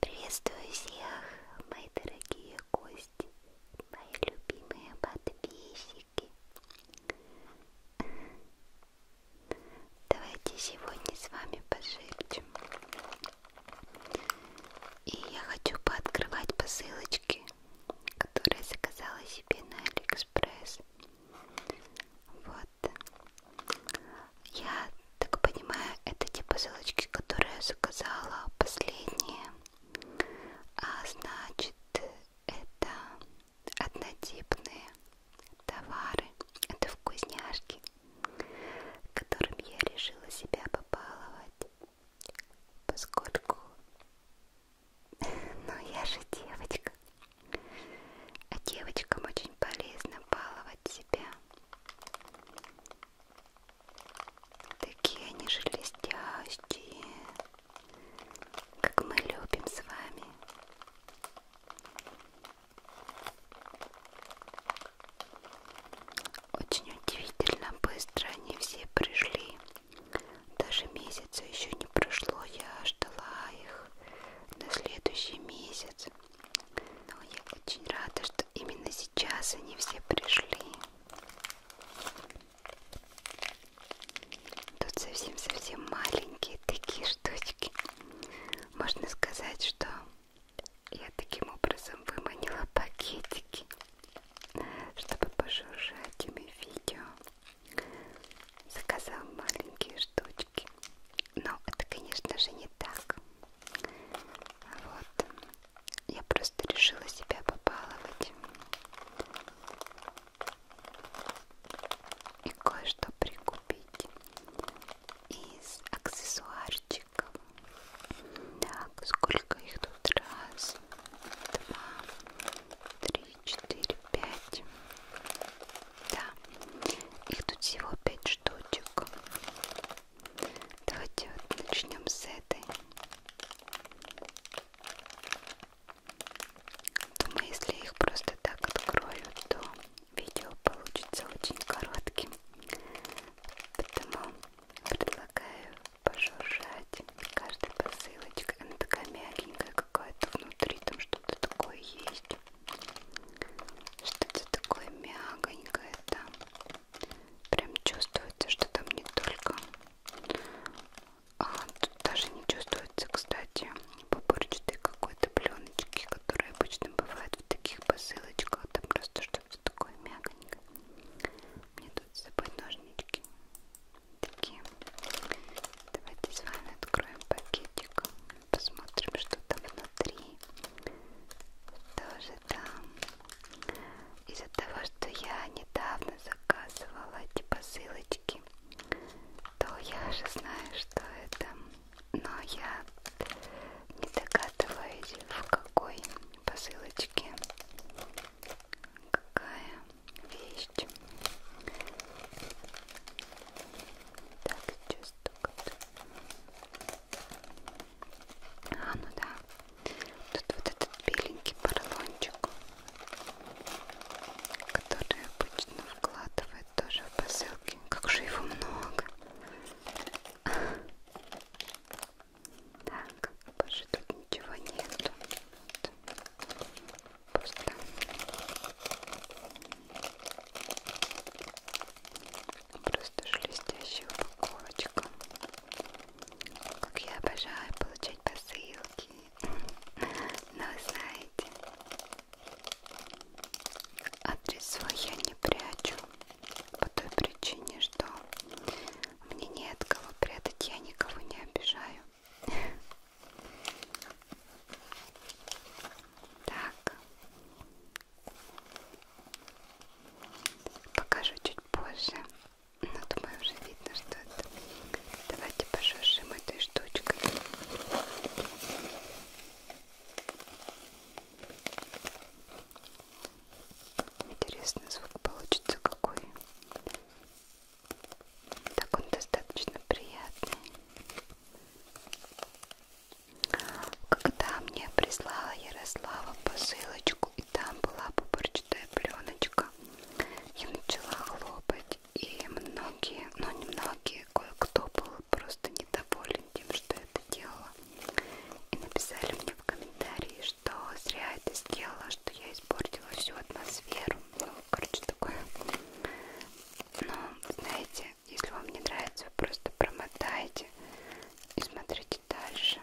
Приветствую всех, мои дорогие гости, мои любимые подписчики. Давайте сегодня с вами пошепчем и я хочу пооткрывать посылочки, которые заказала себе на Алиэкспресс. Вот. Я так понимаю, это те посылочки, которые я заказала последние. А значит, это однотипные товары. Это вкусняшки которым я решила себя побаловать, поскольку, ну я же девочка, а девочкам очень полезно баловать себя. Такие они шелестящие, как мы любим с вами. Очень удивительно быстро они все пришли. Даже месяца еще не прошло, я ждала их на следующий месяц. Но я очень рада, что именно сейчас они все пришли. Тут совсем-совсем маленькие такие штучки. Можно сказать, что я таким образом выманила пакетики, чтобы пожужжать ими видео. Заказал маленькие штучки. Но это, конечно же, не так. Вот. Я просто решила себя побаловать. И кое-что прикупить из аксессуарчиков пальчиком. Так, сколько их тут? Раз, два, три, четыре, пять. Да, их тут всего пять штучек. Давайте вот начнем с этой. Думаю, если их просто так открою, то видео получится очень коротким. Потому предлагаю пожужжать каждой посылочкой. Она такая мягенькая какая-то внутри, там что-то такое есть. Что-то такое мягонькое там. Прям чувствуется, что там не только... А, тут даже не чувствуется, кстати, пупырчатой какой-то пленочки, которая обычно бывает в таких посылочках. Там просто что-то все такое мягонькое. Мне тут с собой ножнички такие. Давайте с вами откроем пакетик, посмотрим, что там внутри. Тоже там. Из-за того, что я недавно заказывала эти посылочки, то я уже знаю, что это но я не догадываюсь, в какой посылочке какая вещь. Так, сейчас только... А, ну да. Тут вот этот беленький поролончик, который обычно вкладывает тоже в посылки. Как же его много. Так, а больше тут ничего нету. Пусто. Просто шелестящая упаковочка. Как я обожаю получать посылки. Но знаете, адрес свой я не прячу по той причине, что мне не от кого прятать, я никого не обижаю. Так, покажу чуть позже, но думаю уже видно, что это. Давайте пошуршим этой штучкой. Интересный звук получится какой. Так он достаточно приятный. Когда мне прислала Ярослава посылочку, и там была пупырчатая пленочка, я начала хлопать. И многие, ну не многие, кое-кто был был просто недоволен тем, что это делала. И написали мне в комментарии, что зря это сделала, что я испортила всю атмосферу. Ну, короче, такое. Но, знаете, если вам не нравится, вы просто промотайте и смотрите дальше.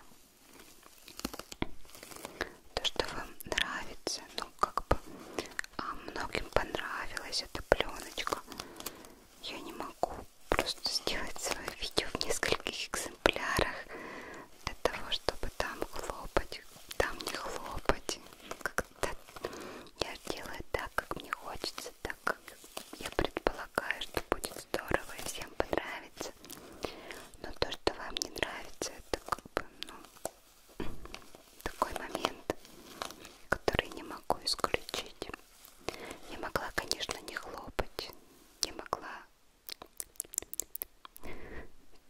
То, что вам нравится, ну, как бы а многим понравилась эта пленочка я не могу просто сделать свое видео в нескольких экземплярах для того, чтобы там хлопать, там не хлопать. Как-то я делаю так, как мне хочется, так как я предполагаю, что будет здорово и всем понравится. Но то, что вам не нравится, это как бы, ну, такой момент, который не могу исключить. Я могла, конечно, не хлопать, не могла.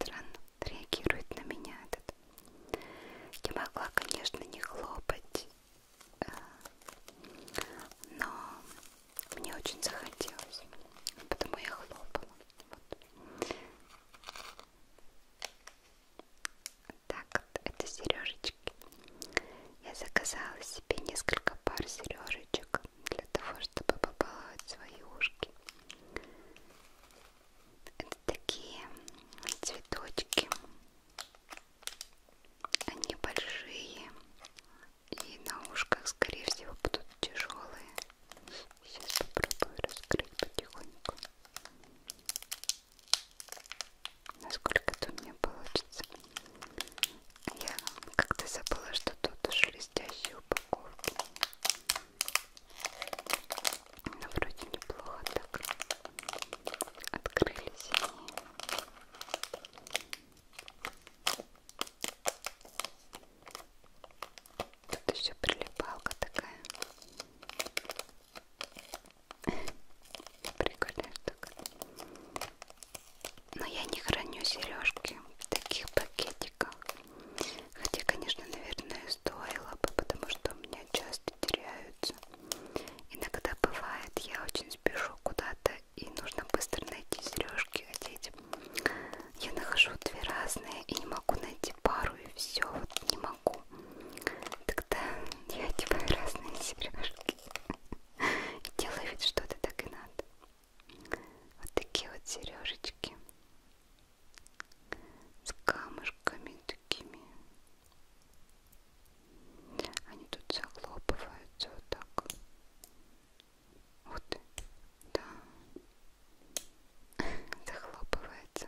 Странно реагирует на меня этот. Я могла, конечно, не хлопать, э, но мне очень захотелось, потому я хлопала. Вот так вот, это сережечки. Я заказала себе несколько пар сережечек для того, чтобы побаловать свои ушки. Это такие цветочки. Они большие и на ушках, скорее всего, будут тяжелые. Сейчас попробую раскрыть потихоньку насколько это у меня получится. Я как-то забыла, что тут шелестящие упаковки. Но ну, вроде неплохо так открылись они. Тут еще прилипалка такая. Прикольная штука. Но я не храню сережки в таких пакетиках. Хотя, конечно, наверное, стоило бы, потому что у меня часто теряются. Иногда бывает, я очень спешу куда-то и нужно быстро найти сережки одеть. Я нахожу две разные и не могу найти пару и все, вот не могу могу. Тогда я одеваю разные сережки и делаю вид, что это так и надо. Вот такие вот сережечки с камушками такими. Они тут захлопываются вот так. Вот, да, захлопывается.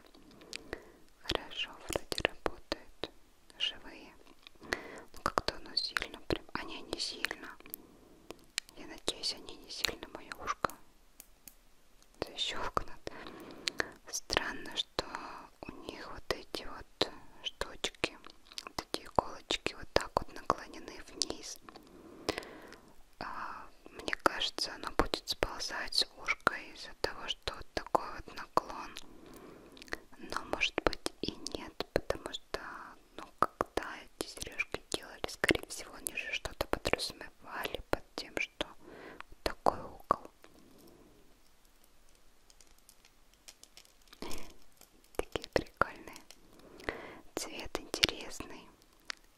Хорошо, вроде работает живые. Но ну, как-то оно сильно прям... Они а не сильно. Я надеюсь, они не сильно мое ушко защелкнут. Странно, что у них вот эти вот штучки, вот эти иголочки вот так вот наклонены вниз. А, мне кажется, оно будет сползать из ушка из-за того, что вот такой вот наклон. Но может быть и нет, потому что, ну, когда эти сережки делали, скорее всего, они же что-то подразумевали под тем, что вот такой угол. Такие прикольные. Цвет интересный.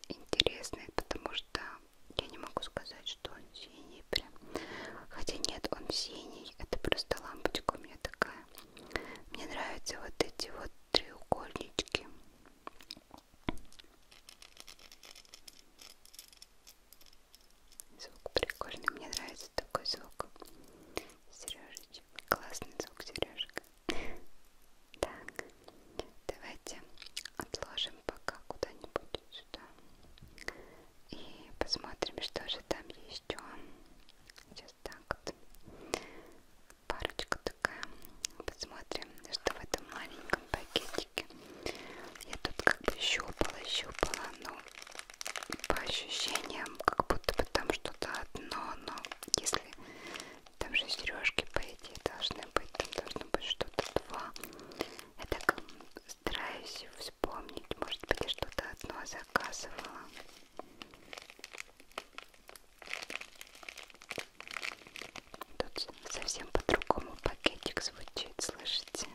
Интересный, потому что я не могу сказать, что он синий прям. Хотя нет, он синий, это просто лампочка у меня такая. Мне нравятся вот эти вот треугольнички. Звук прикольный, мне нравится такой звук. Сережечек, классный звук сережек. Так, давайте отложим пока куда-нибудь сюда и посмотрим, что же там еще. Сейчас так вот. Парочка такая. Посмотрим, что в этом маленьком пакетике. Я тут как бы щупала, щупала, но по ощущениям, как будто бы там что-то одно, но если там же сережки, по идее, должны быть, там должно быть что-то два. Я так стараюсь вспомнить, может быть, я что-то одно заказывала. Тут совсем по-другому пакетик звучит, слышите?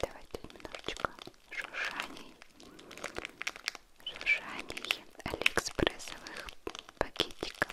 Давайте немножечко шуршаний, шуршаний алиэкспрессовых пакетиков.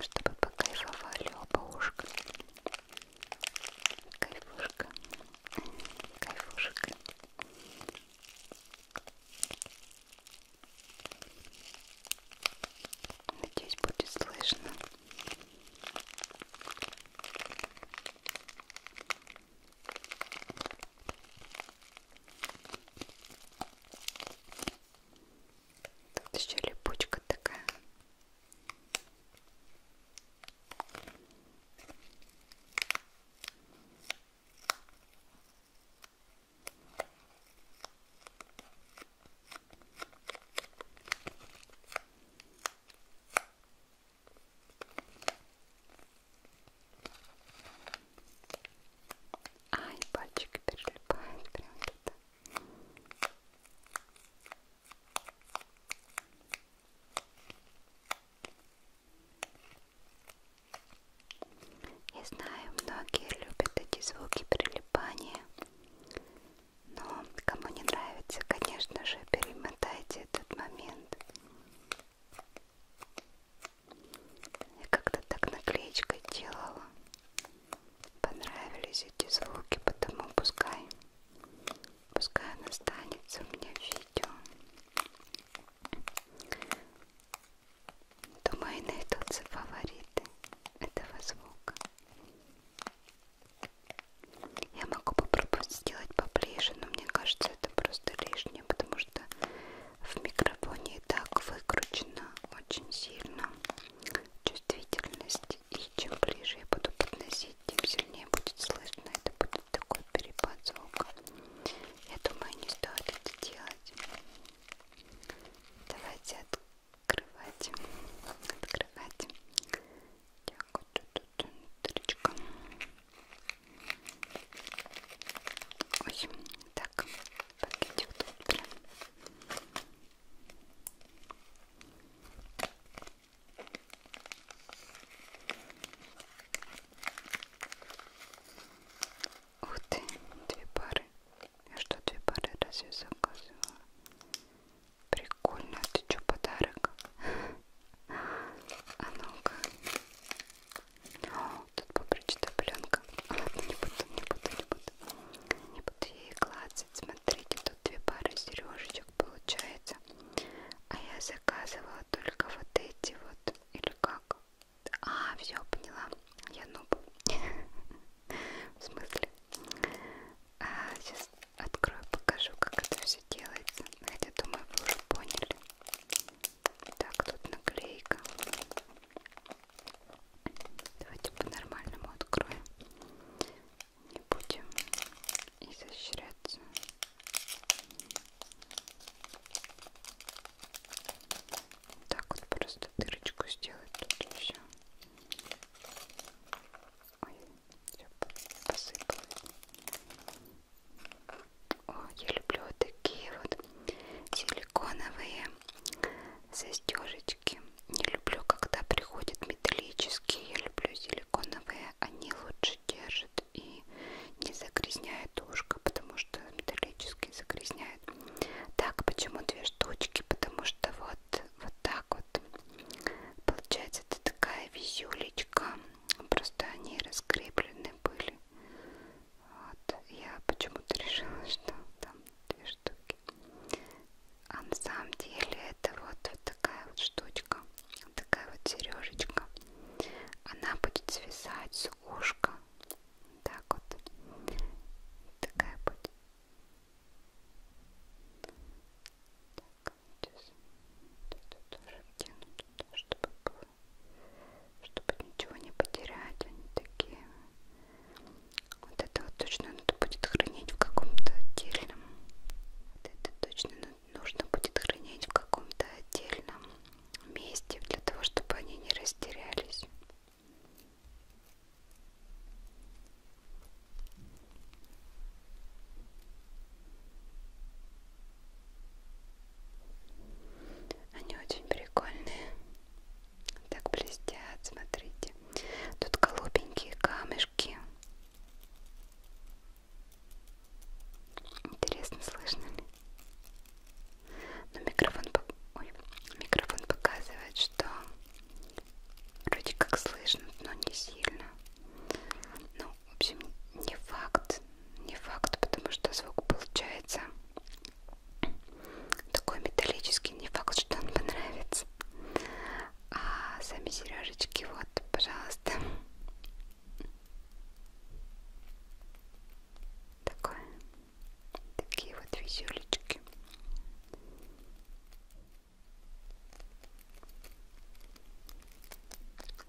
чтобы покайфовали оба ушка. Кайфушка. Кайфушка. Надеюсь, будет слышно. Тут еще липучка такая. Ай, пальчик перелипает прям туда. Я знаю, многие любят эти звуки прилипания, но кому не нравится, конечно же, перемотайте этот момент. Я как-то так наклеечкой делала понравились эти звуки, потому пускай, пускай она останется у меня в видео. Думаю, найдутся фавориты этого звука. Я могу попробовать сделать поближе, но мне кажется, это просто лишнее, потому что в микрофоне и так выкручено очень сильно чувствительность. И чем ближе я буду подносить, тем сильнее будет слышно. Это будет такой перепад звука. Я думаю, не стоит это делать. Давайте открывать. Открывать. Так, вот тут внутричка. Ой, так, пакетик тут прям. Ух ты, две пары. Я что, две пары разве заказывала? Прикольно, ты что, подарок? А ну-ка. О, тут попрочита пленка. Ладно, не буду, не буду, не буду. Не буду ей клацать. Смотрите, тут две пары сережечек получается. А я заказывала только вот эти вот. Или как? А, все, поняла. Я нуб. В смысле? А, сейчас открою, покажу, как это все делается. Хотя, а думаю, вы уже поняли. Так, тут наклейка. Давайте по-нормальному откроем. Не будем изощряться. Так вот просто дырочку сделать тут и все. Ой, все посыпалось. О, я люблю вот такие вот силиконовые застежечки. Не люблю, когда приходят металлические. Я люблю силиконовые. Они лучше держат и не загрязняют ушко, потому что металлические загрязняют. Так, почему две штучки? Потому что вот, вот так вот. Получается, это такая визюлечка. Просто они раскреплены были. Вот, я почему-то решила, что там две штуки. А на самом деле это вот, вот такая вот штучка, вот такая вот сережечка. Она будет свисать с ушка. Так вот. Такая будет. Так, сейчас тут тоже втяну туда, чтобы было, чтобы ничего не потерять. Они такие вот это вот точно надо будет хранить в каком-то отдельном. Вот это точно нужно будет хранить в каком-то отдельном месте, для того, чтобы они не растерялись. Они очень прикольные. Так блестят, смотрите. Тут голубенькие камешки. Интересно, слышно ли? Но микрофон, Ой, микрофон показывает, что вроде как слышно, но не сильно. Ну, в общем, не факт. Не факт, потому что звук получается такой металлический, не факт, что он понравится. А сами сережечки, вот, пожалуйста. Такое. Такие вот визюлечки.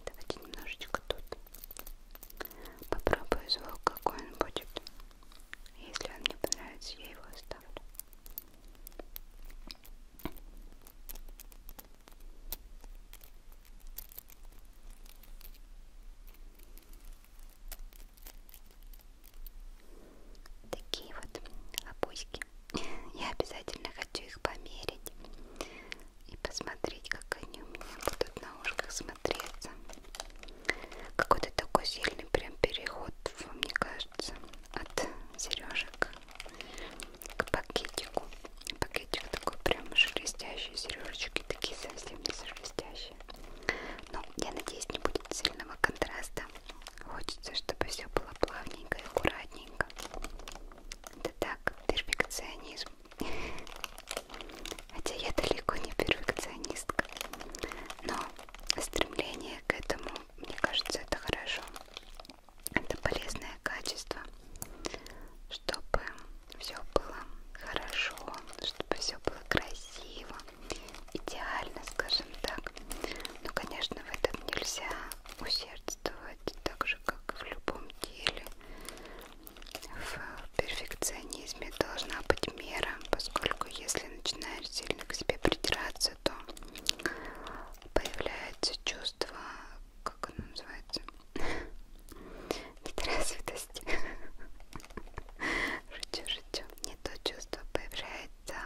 Давайте немножечко тут попробую звук, какой он будет. Если он мне понравится, я его оставлю. Такие вот лопуськи. Я обязательно хочу их померить и посмотреть, как они у меня будут на ушках смотреть смотреться. Какой-то такой сильный прям переход, мне кажется, от сережек к пакетику. Пакетик такой прям шелестящий, сережечки такие совсем не шелестящие. Но я надеюсь, не будет сильного контраста. Хочется, чтобы все было плавненько и аккуратненько. Это так, перфекционизм. Хотя я далеко не перфекционистка, но стремление к этому, мне кажется, это хорошо. Это полезное качество, чтобы все было хорошо, чтобы все было красиво, идеально, скажем так. Но, конечно, в этом нельзя усердствовать, так же, как и в любом деле. В перфекционизме должна быть мера, поскольку если начинаешь сильно к себе придираться, то появляется чувство, как оно называется, недоразвитости. Шучу, шучу. Не то чувство появляется,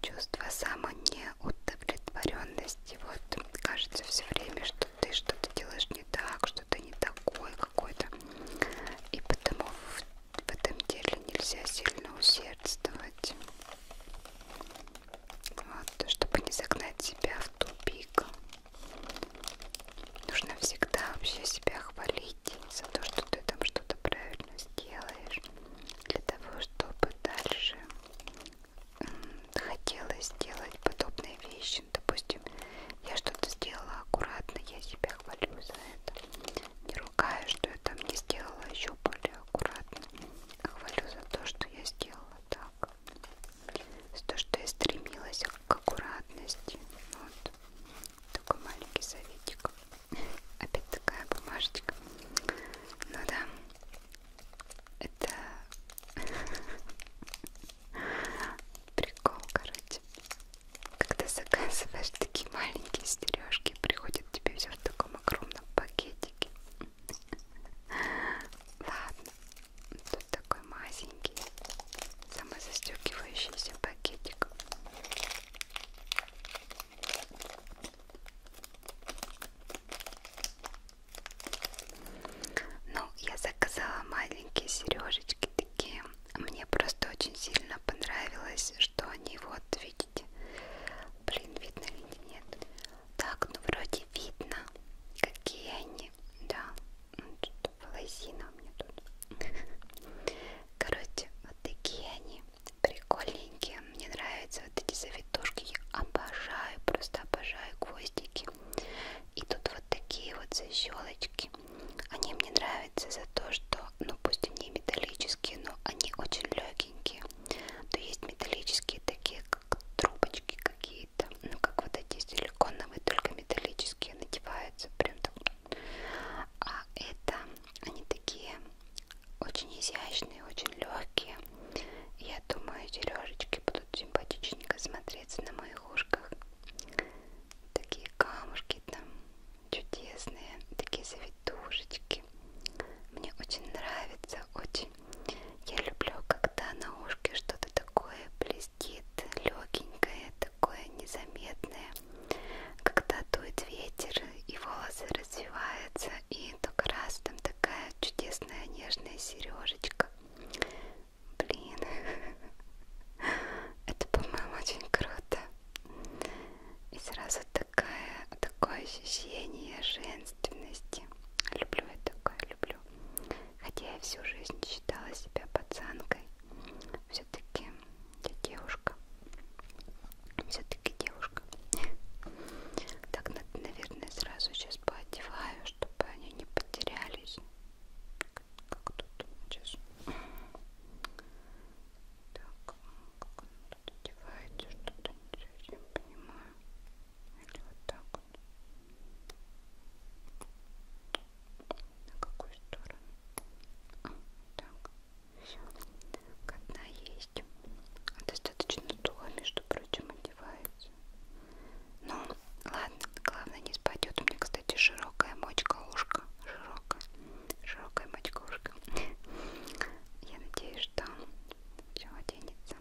чувство самонеудовлетворенности. Вот кажется все время, что ты что-то делаешь не так, что ты не такой, какой-то. И потому в, в этом деле нельзя сильно усердствовать. Вот, чтобы не загнать себя в тупик. Нужно всегда вообще себя хвалить за то, что ты там что-то правильно сделаешь. Для того, чтобы дальше хотелось сделать подобные вещи морщин. Допустим, я что-то сделала аккуратно, я себя хвалю за это. Не ругаю, что я там не сделала еще более аккуратно. А хвалю за то, что я сделала так. За то, что я стремилась к аккуратности. Вот. Такой маленький советик. Опять такая бумажечка. Ну да. Это прикол, короче есть, когда заказываешь такие маленькие стережки, приходит тебе все в таком огромном пакетике. Ладно, тут такой мазенький, самозастегивающийся пакетик. Ну, я заказала маленькие сережечки, картинки. Мне просто очень сильно понравилось, что они вот, видите, блин, видно или нет. Так, ну вроде видно, какие они, да. Ну, волосина у меня тут. Короче, вот такие они прикольненькие. Мне нравятся вот эти завитушки. Я обожаю, просто обожаю гвоздики щечки. И тут вот такие вот защелочки. Они мне нравятся за то, что, ну пусть они металлические, но они очень легенькие. То есть металлические такие, как трубочки какие-то, ну как вот эти силиконовые, только металлические надеваются прям так. А это они такие очень изящные, очень легкие. Я думаю, сережечки будут симпатичненько смотреться на моих ушках. Такие камушки там чудесные, такие завитушечки. Мне очень нравится, очень. Я люблю, когда на ушке что-то такое блестит, легенькое, такое незаметное. Когда дует ветер и волосы развиваются, и только раз там такая чудесная нежная сережечка. Блин, это, по-моему, очень круто. И сразу такая, такое ощущение женственности. Люблю я такое, люблю. Хотя я всю жизнь считала себя пацанкой. Все-таки я девушка. Все-таки девушка. Так, наверное, сразу сейчас поодеваю, чтобы они не потерялись как тут сейчас так как он тут одевается что-то не совсем понимаю или вот так вот на какую сторону а, так все одна есть достаточно тула между прочим одевается ну, ладно, главное не спадет. У меня, кстати, широкая мочка ушка. Широкая. Широкая мочка ушка. Я надеюсь, что все оденется.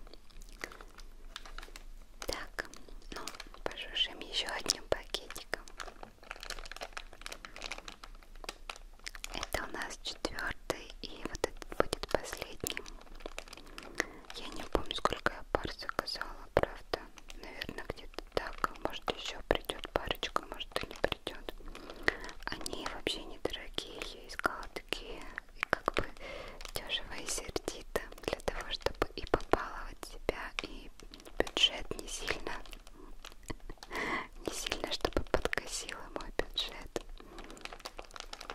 Так, ну, пожушим еще одним пакетиком. Это у нас четвертый, и вот этот будет последним. Я не помню, сколько я пар заказала, правда. Наверное, где-то так. Может, еще придет парочка, может, и не придет. Они вообще недорогие. Я искала такие, и как бы дешево и сердито. Для того, чтобы и побаловать себя, и бюджет не сильно, не сильно, чтобы подкосило мой бюджет.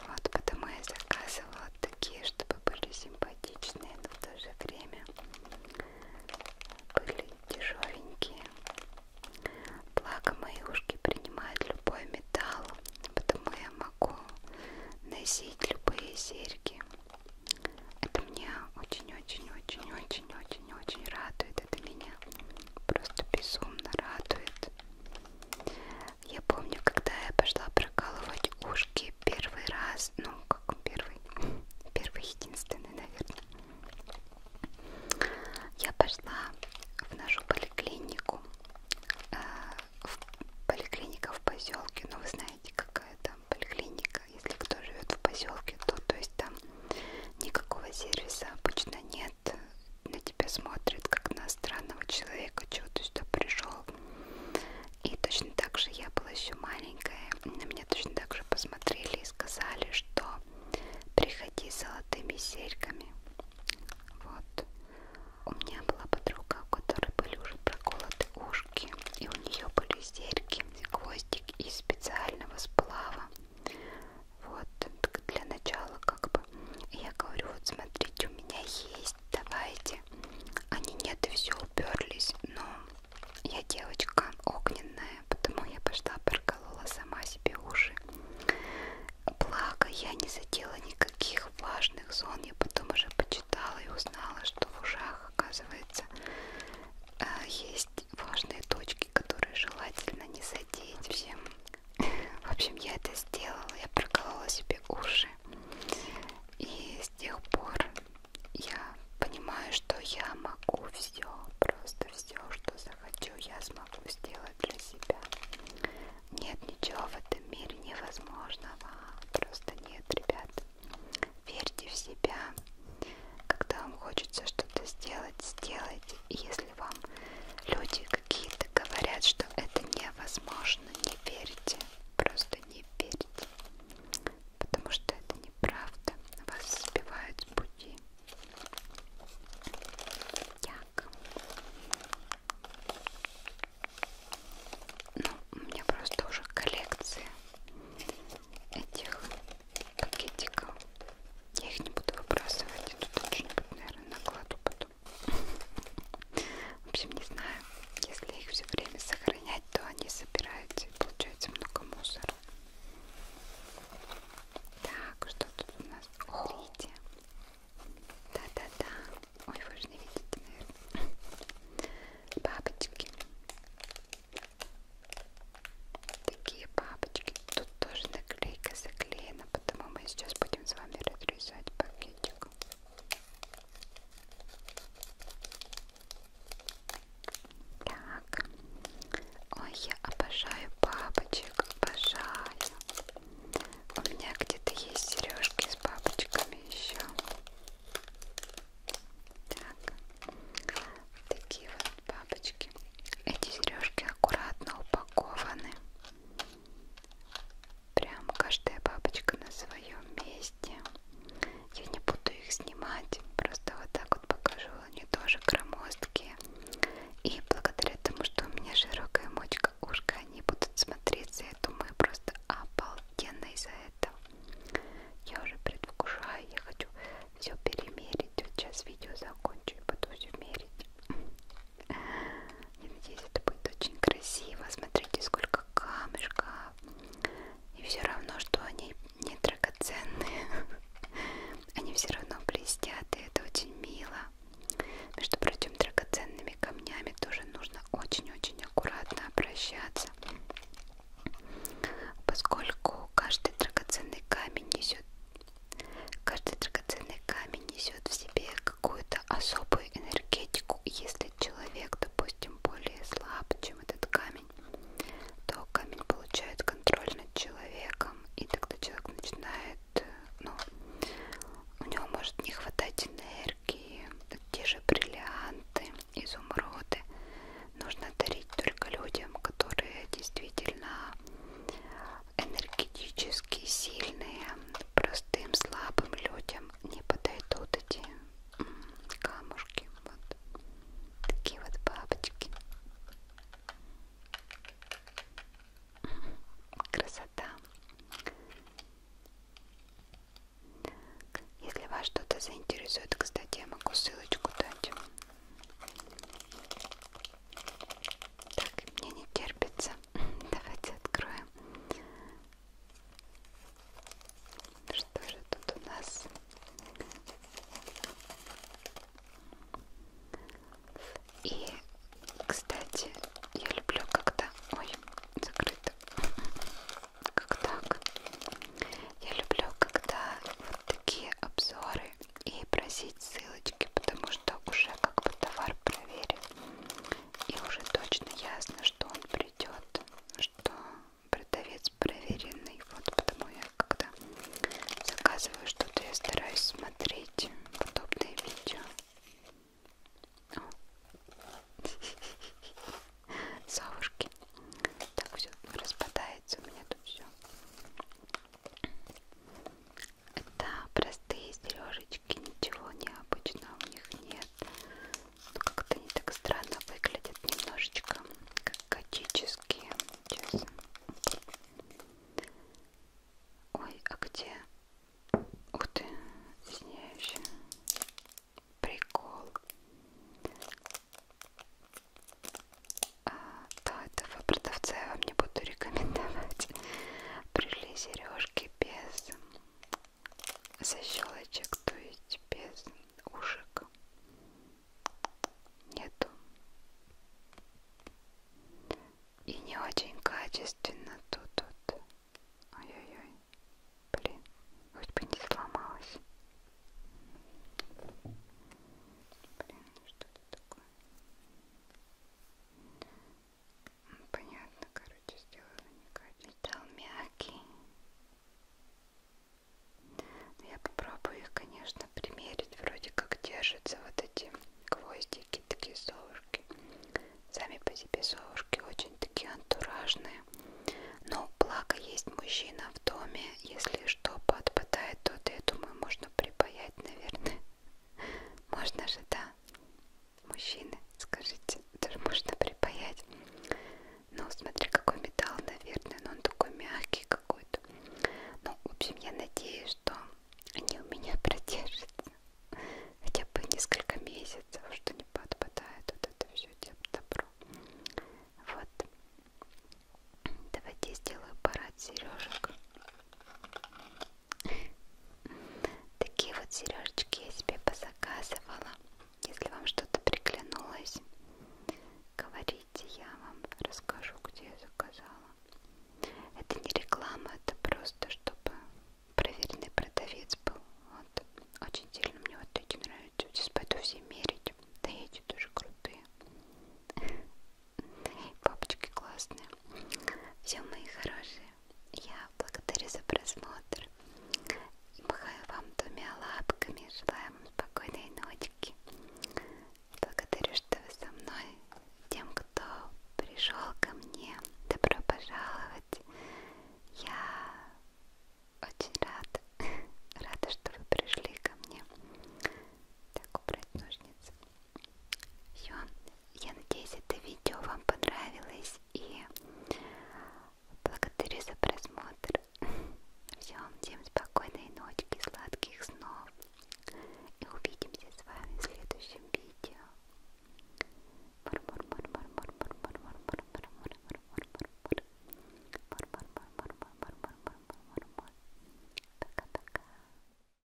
Вот, потому я заказывала такие, чтобы были симпатичные, но в то же время были дешевенькие. Благо мои ушки принимают любой металл, потому я могу носить любые серьги. Это меня очень-очень-очень-очень-очень-очень радует. Это меня просто безумно радует. Я помню, когда я пошла прокалывать ушки первый раз, ну как первый, первый единственный, наверное, я пошла в нашу поликлинику, э, в поликлиника в поселке, но ну, вы знаете, какая там поликлиника, если кто живет в поселке, то, то есть там никакого сервиса обычно нет, на тебя смотрят как на странного человека, чего ты сюда пришел и точно так же я была еще маленькая, на меня точно так же посмотрели и сказали, что приходи с золотыми серьками. Вот. У меня была подруга, у которой были уже проколоты ушки, и у нее были серьги, гвоздик из специального сплава. Вот, для начала как бы. И я говорю, вот смотрите, у меня есть есть давайте. Они нет и все уперлись, но я девочка огненная, потому я пошла проколола сама себе уши. Благо я не задела никаких важных зон, я потом уже почитала и узнала, что в ушах оказывается э, есть важные точки, которые желательно не задеть всем. В общем, я это сделала, я проколола себе уши. И с тех пор я понимаю, что я могу все, просто все, что захочу, я смогу сделать для себя. Нет ничего в этом мире невозможного, просто нет, ребят. Верьте в себя. Когда вам хочется что-то сделать, сделайте. И если вам люди какие-то говорят, что это невозможно, не верьте. Просто не верьте, потому что это неправда. Вас сбивают с пути. Так. Ну, у меня просто уже коллекция этих пакетиков. Я их не буду выбрасывать. Тут что-нибудь, наверное, накладу потом. В общем, не знаю, если их все время сохранять, то они собираются и получается много мусора. Так, что тут у нас? Смотрите. Да-да-да. Ой, вы же не видите, наверное. Бабочки. Такие бабочки. Тут тоже наклейка заклеена, потому мы сейчас будем с вами разрезать пакетик. Так. Ой, я обожаю бабочек, обожаю. У меня где-то есть сережки с бабочками еще. Так. Такие вот бабочки. Эти сережки аккуратно упакованы. Прям каждая бабочка на своем месте. Я не буду их снимать, просто вот так вот покажу. Они тоже громоздкие. И благодаря тому, что у меня широкая мочка ушка, они будут смотреться, я думаю, просто обалденно из-за этого. Я уже предвкушаю, я хочу все перемерить. Вот сейчас видео закончу и буду все мерить. Я надеюсь, это будет очень красиво. Смотрите, сколько камешков. И все равно, что они не драгоценные. Они все равно блестят, и это очень мило. Между прочим, драгоценными камнями тоже нужно очень-очень аккуратно обращаться. Поскольку каждый драгоценный камень несет каждый драгоценный камень сами несет в себе какую-то особую энергетику. Если человек, допустим, более слаб, чем этот камень, то камень получает контроль над человеком, и тогда человек начинает, э, ну, у него может не хватать энергии, те же бриллианты, изумруды. Нужно дарить только людям, которые действительно энергетически сильные, про простым, слабым людям не подойдут эти камушки. Вот такие вот бабочки. Красота. Если вас что-то заинтересует, кстати, я могу ссылочку дать. Так, мне не терпится. Давайте откроем. Что же тут у нас? И, кстати, я люблю когда... Ой, закрыто. Как так? Я люблю, когда вот такие обзоры и просить ссылочки, потому что уже как бы товар проверен. И уже точно ясно, что он придет, что продавец проверенный. Вот потому я когда заказываю что-то, я стараюсь смотреть подобные видео. Совушки. Так все распадается у меня тут все. Это простые сережечки, ничего необычного у них нет. Но как-то они так странно выглядят немножечко, как готические. Сейчас. Ой, а где? Ух ты, извиняюсь. Прикол. А, да, этого продавца я вам не буду рекомендовать. Пришли сережки ножки без защелочек, то есть без ушек нету. И не очень качественно тут вот. Ой-ой-ой. Блин, хоть бы не сломалась. Блин, ну что это такое? понятно, короче, сделала никак. Металл мягкий. Но ну, я попробую их, конечно, примерить. Вроде как держатся вот эти гвоздики, такие совушки. Сами по себе совушки очень такие антуражные. Но благо есть мужчина в доме. Если что подпадает, то, да, я думаю, можно припаять, наверное. Можно же, да? Мужчины, скажите, тоже можно припаять. Ну, смотри, какой металл, наверное, но он такой мягкий какой-то. Ну, в общем, я надеюсь, что они у меня продержатся хотя бы несколько месяцев, что не подпадает вот это все добро. Вот. Давайте я сделаю парад сережек. Такие вот сережечки я себе позаказывала. Если вам что-то приглянулось, говорите, я вам расскажу, где я заказала. Это не реклама, это просто, чтобы проверенный продавец был. Вот. Очень сильно мне вот эти нравятся. Вот здесь пойду все мерить. Да эти тоже крутые. Папочки классные. Все, мои хорошие, я благодарю за просмотр. И махаю вам двумя лапками. Желаю вам спокойной ночки. Благодарю, что вы со мной. Тем, кто пришел ко мне, добро пожаловать. Я очень рада. Рада, что вы пришли ко мне. Так, убрать ножницы. Все, я надеюсь, это видео вам понравилось и благодарю за просмотр. Все, всем спокойной ночки, сладких снов и увидимся с вами в следующем видео. Пока-пока.